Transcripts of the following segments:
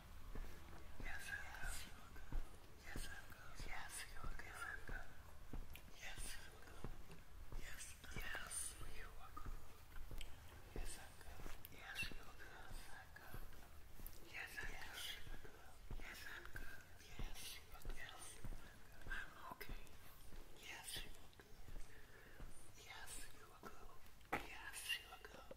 Yes, I will. Yes, I will. Yes, you will. Yes, I will. Yes, Yes, yes, you will. Yes, I will. Yes, you will. Yes, I will. Yes, Yes, I will. Yes, yes. I'm okay. Yes, Yes, you will. Yes, you will.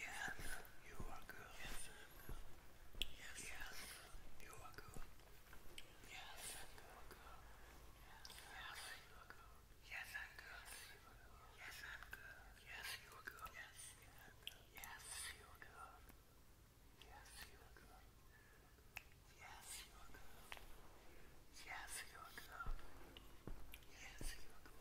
Yes, you are good. Yes, yes, you are good. Yes, you are good. Yes, you are good. Yes, you are good. yes, you are good. Yes, you are good. Yes, you are good. Yes, you are good. Yes, you are good.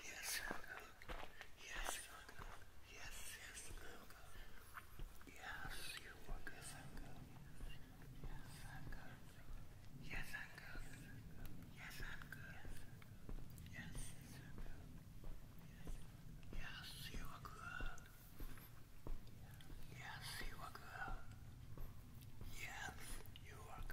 Yes, I'll go. Yes, I'll go. Yes, yes, I'll go. Yes, you are good. Yes, I'll go. Yes, I'll go. Yes, I'll go. Yes, I'll go. Yes, you will go. Yes, you will go. Yes, you will go.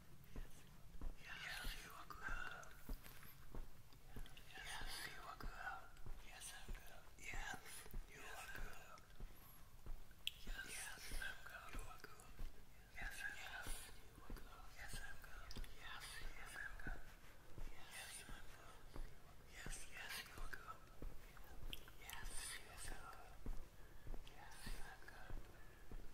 Yes, you are good. Yes, you are good. Yes, I'm good. Yes, you are good. Yes, I'm good. You are good. Yes, I'm good. You are good. Yes, I'm good. Yes, yes, i good. Yes, I'm good. Yes, you are good. Yes, I'm good. Yes, Yes, yes, i good. Yes, yes, I'm good. Yes, yes, I'm good.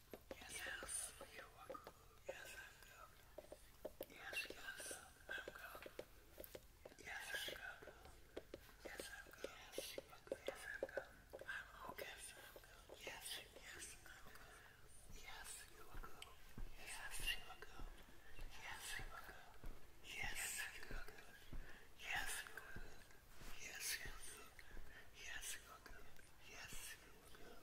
Yes, yes, you're welcome. Yes, I'm good. Yes, yes, I'm good. Yes, I'm good. Yes, I'm good. Yes, I'm good. Yes, I'm good. I'm okay. Yes, I'm good. Yes, yes, I'm good. Yes, you are good. Yes, you are good. Yes, you are good. Yes, you are good. Yes, you are good. Yes, you are good. Yes, you are good. Yes, you are good.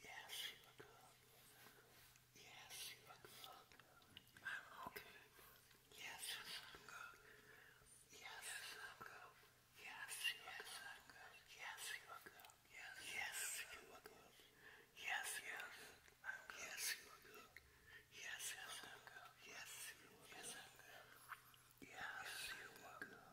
Yes, you are good. Yes, you are good. I'm okay. Yes, I'm good. Yes, I'm good. Yes, you are good. Yes, you are good. Yes, you are good. Yes, yes. i good. Yes, you are good. Yes, yes, i good. Yes, you are good. Yes, you are good.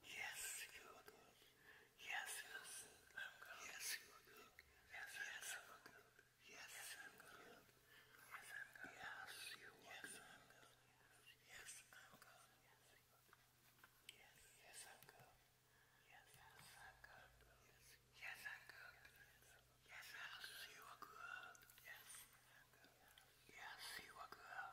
Yes, you are good. Yes, yes, Yes, you are good. Yes, yes, Yes, I'm good. Yes, i Yes, you are good. Yes, Yes, yes, I'm good. Yes, yes, Yes, I'm good. Yes, yes, you are good. Yes, yes, you are good.